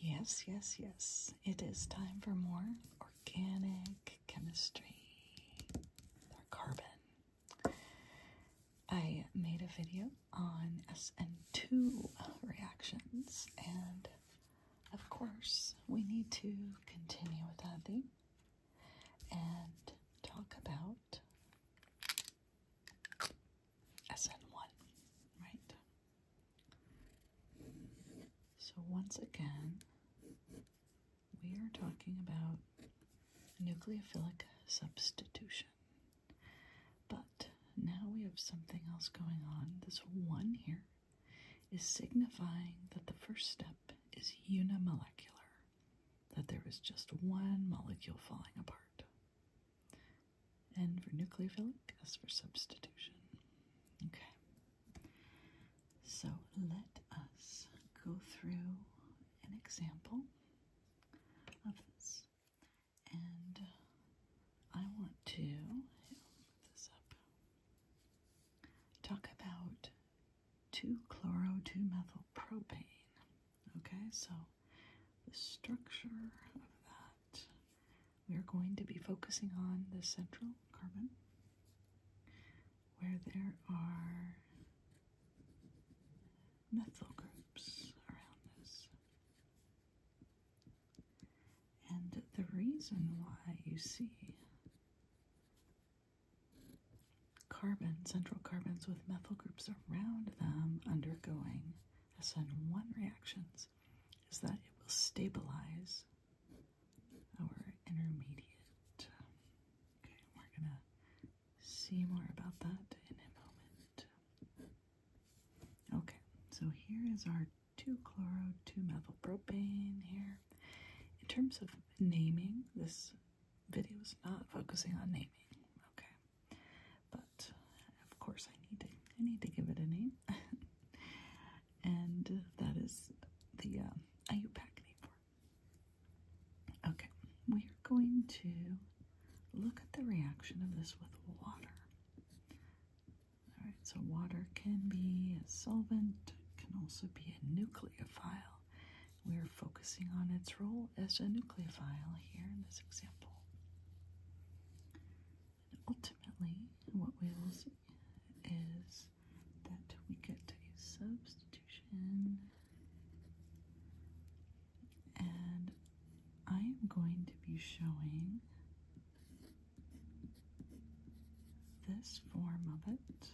Yes, yes, yes. It is time for more organic chemistry carbon. I made a video on SN2 reactions, and of course, we need to continue with that thing and talk about SN1, right? So, once again, we are talking about nucleophilic substitution. But now we have something else going on. This one here is signifying that the first step is unimolecular, that there is just one molecule falling apart. And for nucleophilic, as for substitution. Okay. So let us go through an example of this. And I want to Talk about 2 chloro 2 methyl propane. Okay, so the structure of that, we are going to be focusing on the central carbon where there are methyl groups around this. And the reason why you see carbon, central carbons with methyl groups around them undergoing SN1 reactions is that it will stabilize our intermediate. Okay, we're gonna see more about that in a moment. Okay, so here is our 2-chloro, 2-methylpropane here. In terms of naming, this video is not focusing on naming. Okay, but of course, I need to I need to give it a name, and that is the uh, IUPAC name for Okay, we are going to look at the reaction of this with water. All right, so water can be a solvent, can also be a nucleophile. We're focusing on its role as a nucleophile here in this example. And ultimately, what we will see is that we get to a substitution, and I am going to be showing this form of it.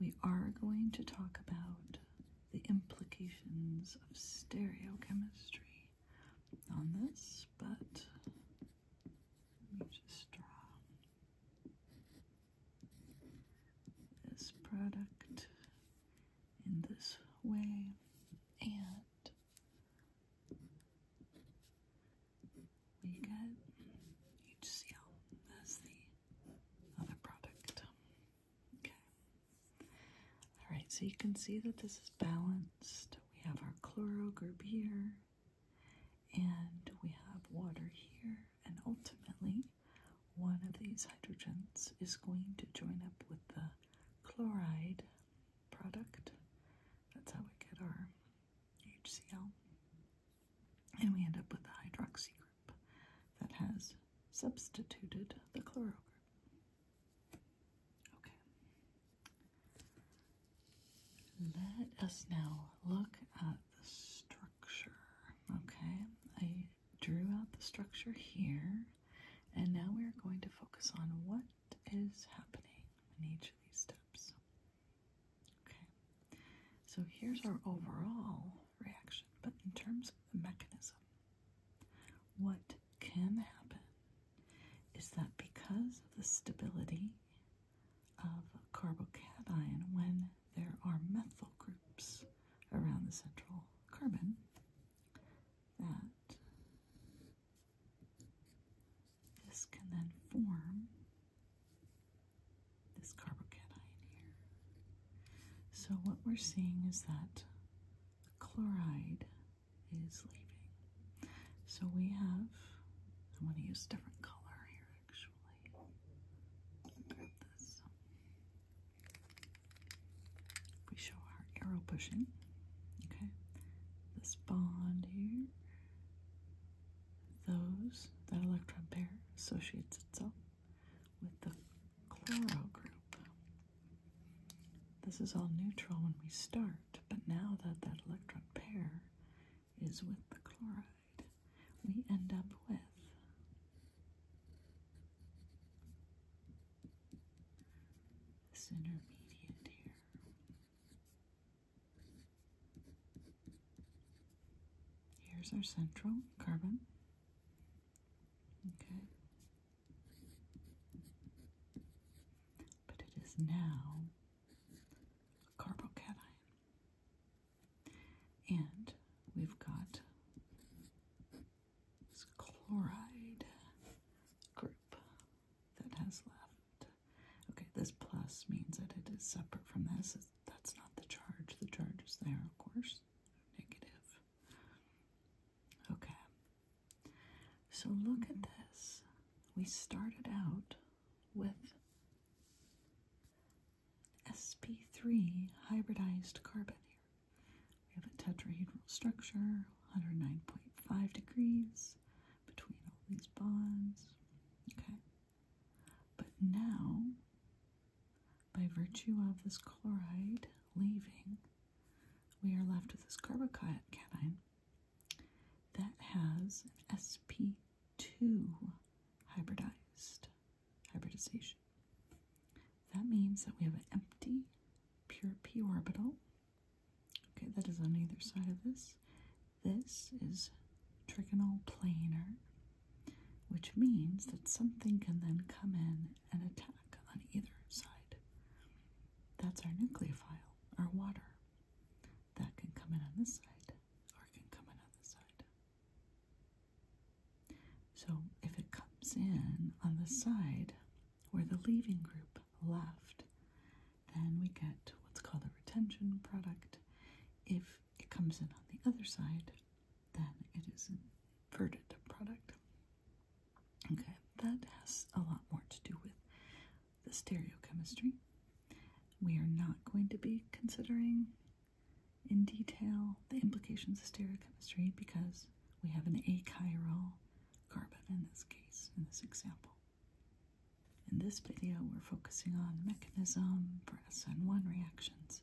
We are going to talk about the implications of stereochemistry on this, but let me just draw this product in this way and we get HCl as the other product. Okay. All right, so you can see that this is balanced. We have our chloro group here, and we have water here, and ultimately, one of these hydrogens is going to join up with the chloride product. That's how we get our HCl. And we end up with the hydroxy group that has substituted the chloro group. Okay. Let us now look at the structure. Okay, I drew out the structure here, and now we are going to focus on what is happening in each of these steps. Okay, so here's our overall reaction, but in terms of the mechanism, what can happen is that because of the stability of carbocation when there are methyl groups around the central carbon, that this can then form this carbocation here. So what we're seeing is that chloride is leaving. So we have, I'm going to use a different color here actually. Grab this. We show our arrow pushing, okay? This bond here, those, that electron pair associates itself with the chloro group. This is all neutral when we start, but now that that electron pair is with the chloride, we end up with this intermediate here. Here's our central carbon. Okay. But it is now a carbocation. And we've got this chloride group that has left. Okay, this plus means that it is separate from this. That's not the charge. The charge is there, of course negative. Okay. So look at this. We started out with sp3 hybridized carbon here. We have a tetrahedral structure, 109.5 degrees between all these bonds. Okay. But now, by virtue of this chloride leaving, we are left with this carbocation that has an sp2 hybridized hybridization. That means that we have an empty pure p orbital. Okay, that is on either side of this. This is trigonal planar which means that something can then come in and attack on either side. That's our nucleophile, our water. That can come in on this side or can come in on this side. So if it comes in on the side where the leaving group left, then we get what's called a retention product. If it comes in on the other side, then it is inverted product. Okay, that has a lot more to do with the stereochemistry. We are not going to be considering in detail the implications of stereochemistry because we have an achiral carbon in this case, in this example. In this video, we're focusing on mechanism for SN1 reactions.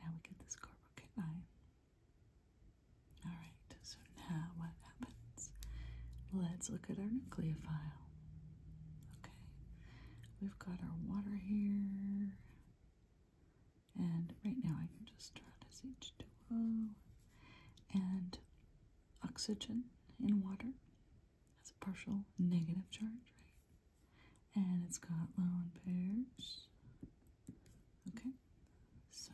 Now we get this carbocation. Alright, so now what happens? Let's look at our nucleophile. Okay, we've got our water here. And right now I can just draw this H2O and oxygen in water. That's a partial negative charge, right? and it's got lone pairs. Okay, so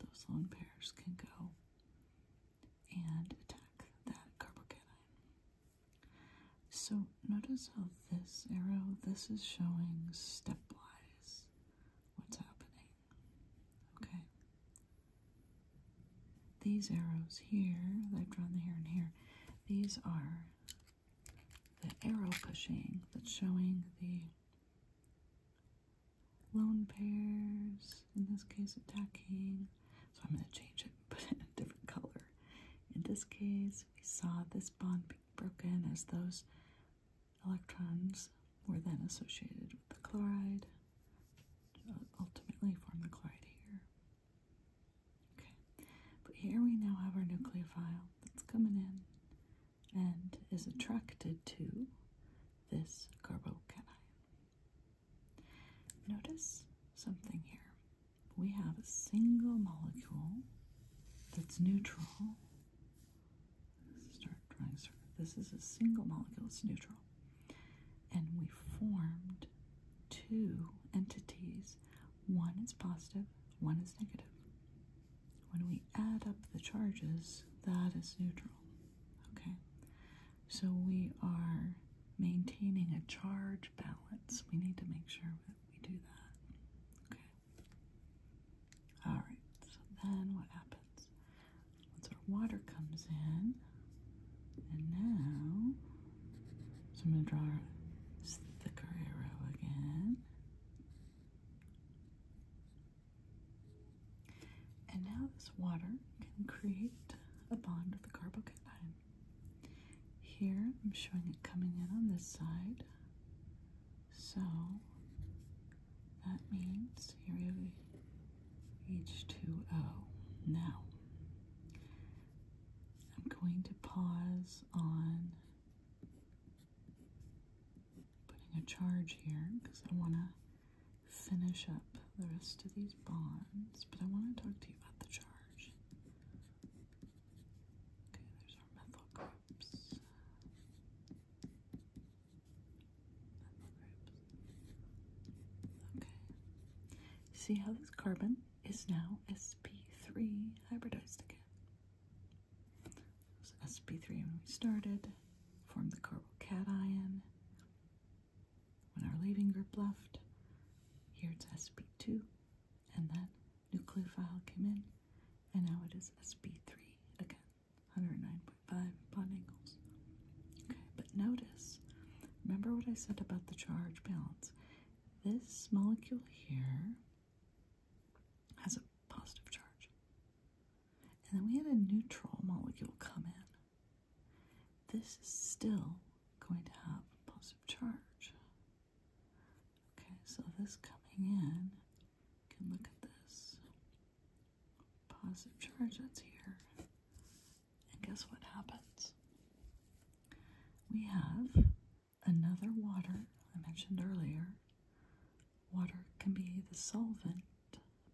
those lone pairs can go and attack that carbocation. So notice how this arrow, this is showing stepwise what's happening. Okay, these arrows here that I've drawn the here and here, these are the arrow pushing that's showing the lone pairs, in this case attacking. So I'm going to change it and put it in a different color. In this case, we saw this bond being broken as those electrons were then associated with the chloride, uh, ultimately form the chloride here. Okay, but here we now have our nucleophile that's coming in and is attracted to this carbocation. Notice something here. We have a single molecule that's neutral. Start drawing. This is a single molecule, it's neutral. And we formed two entities. One is positive, one is negative. When we add up the charges, that is neutral. Okay? So we are maintaining a charge balance. We need to make sure that we do that. Okay? Alright, so then what happens? Once our water comes in, and now, so I'm going to draw this thicker arrow again. And now this water can create a bond with the carbocation. Here, I'm showing it coming in on this side. So, that means here we have H2O. Now, I'm going to pause on putting a charge here because I want to finish up the rest of these bonds, but I want to talk to you about the charge. Okay, there's our methyl groups. Okay. See how this carbon is now sp3 hybridized again. sp3 when we started, formed the carbocation. When our leaving group left, here it's sp2, and then nucleophile came in, and now it is sp3 again. 109.5 bonding Okay, but notice, remember what I said about the charge balance. This molecule here has a positive charge. And then we had a neutral molecule come in. This is still going to have a positive charge. Okay, so this coming in, you can look at this. Positive charge that's here. And guess what happens? We have another water I mentioned earlier. Water can be the solvent,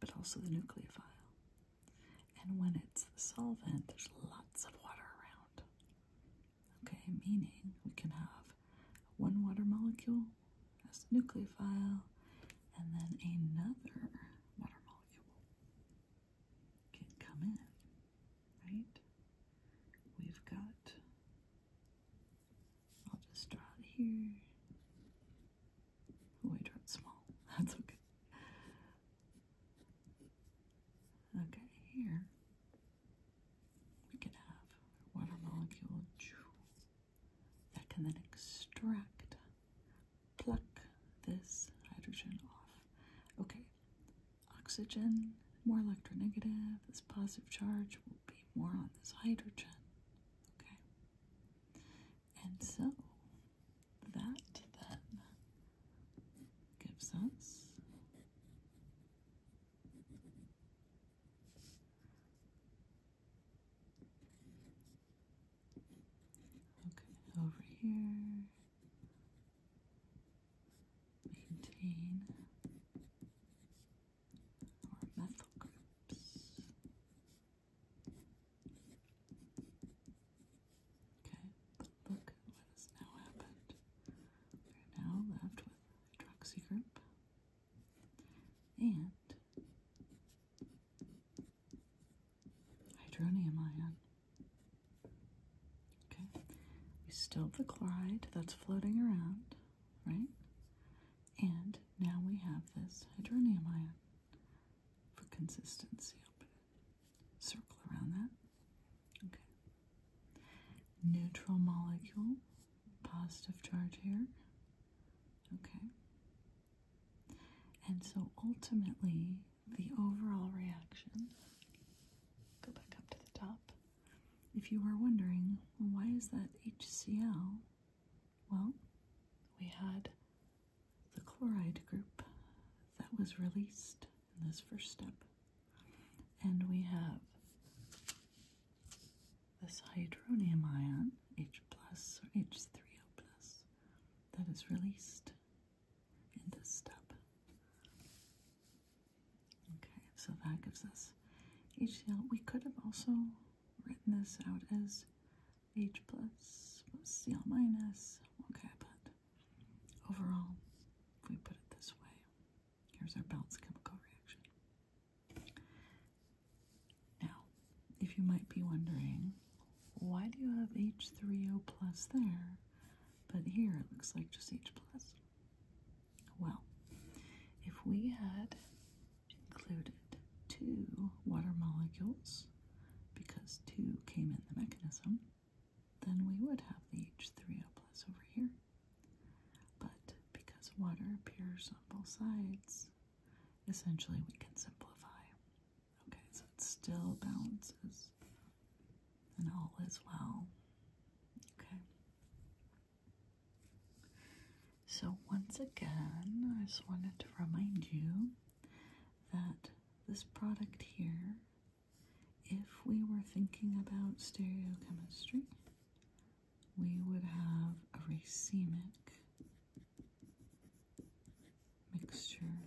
but also the nucleophile. And when it's the solvent, there's lots of water around. Okay, meaning we can have one water molecule as the nucleophile and then another water molecule can come in, right? We've got, I'll just draw it here. Oh, I drew it small. That's okay. Okay, here we can have a water molecule that can then extract pluck this hydrogen off. Okay, oxygen, more electronegative, this positive charge will be more on this hydrogen. Okay, and so that then gives us. Okay, over here. Maintain our methyl groups. Okay, look what has now happened. We're now left with a hydroxy group and Hydronium ion. Okay, we still have the chloride that's floating around, right? And now we have this hydronium ion for consistency. Circle around that. Okay. Neutral molecule, positive charge here. Okay. And so ultimately, the overall reaction go back up to the top. If you are wondering, why is that HCl? Well, we had the chloride group that was released in this first step. And we have this hydronium ion, H plus or H3O plus, that is released in this step. Okay, so that gives us HCl. We could have also written this out as H plus plus Cl minus. Okay, but overall, if we put it this way, here's our balanced chemical reaction. Now, if you might be wondering, why do you have H3O plus there, but here it looks like just H plus? Well, if we had included two water molecules, because two came in the mechanism, then we would have the H3O plus over here. But because water appears on both sides, essentially we can simplify. Okay, so it still balances and all is well. Okay. So once again, I just wanted to remind you that this product here, if we were thinking about stereochemistry, we would have a racemic mixture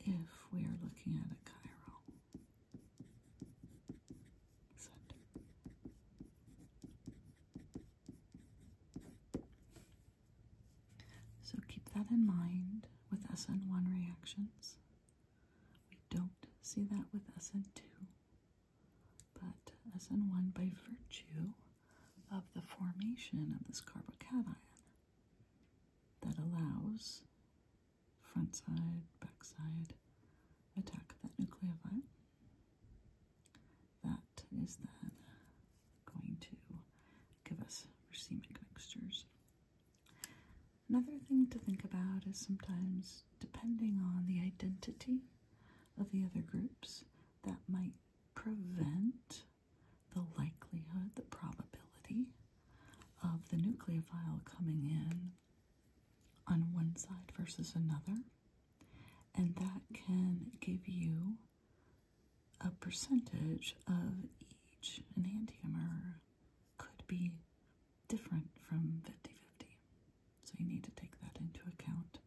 if we are looking at a chiral center. So keep that in mind with SN1 reactions. We don't see that with SN2 but as in one by virtue of the formation of this carbocation that allows front side, back side attack of that nucleophile. That is then going to give us racemic mixtures. Another thing to think about is sometimes, depending on the identity of the other groups, that might prevent the likelihood, the probability of the nucleophile coming in on one side versus another. And that can give you a percentage of each. An antimer could be different from 50 So you need to take that into account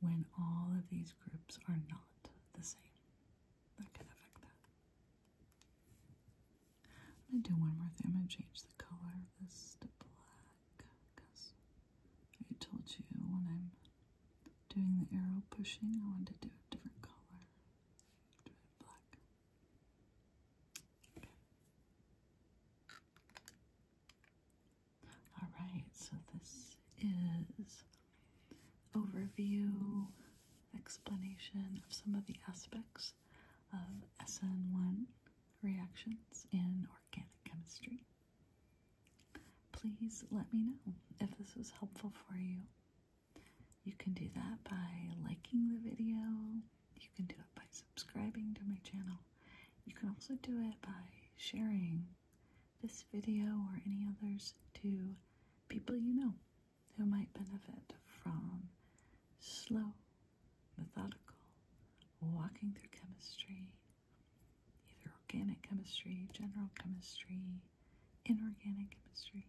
when all of these groups are not the same. That can affect that. I'm going to do one more thing. I'm going to change the color of this to black because I told you when I'm doing the arrow pushing, I wanted to do a different color. Do it black. All right, so this is overview explanation of some of the aspects of SN1 reactions in organic chemistry. Please let me know if this was helpful for you. You can do that by liking the video, you can do it by subscribing to my channel. You can also do it by sharing this video or any others to people you know who might benefit from slow, methodical walking through chemistry, either organic chemistry, general chemistry, inorganic chemistry,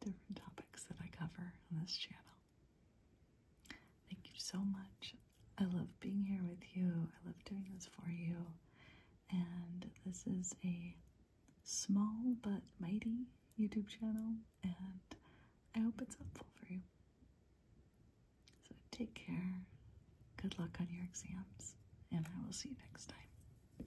different topics that I cover on this channel. Thank you so much. I love being here with you. I love doing this for you. And this is a small but mighty YouTube channel, and I hope it's helpful for you. So take care. Good luck on your exams, and I will see you next time.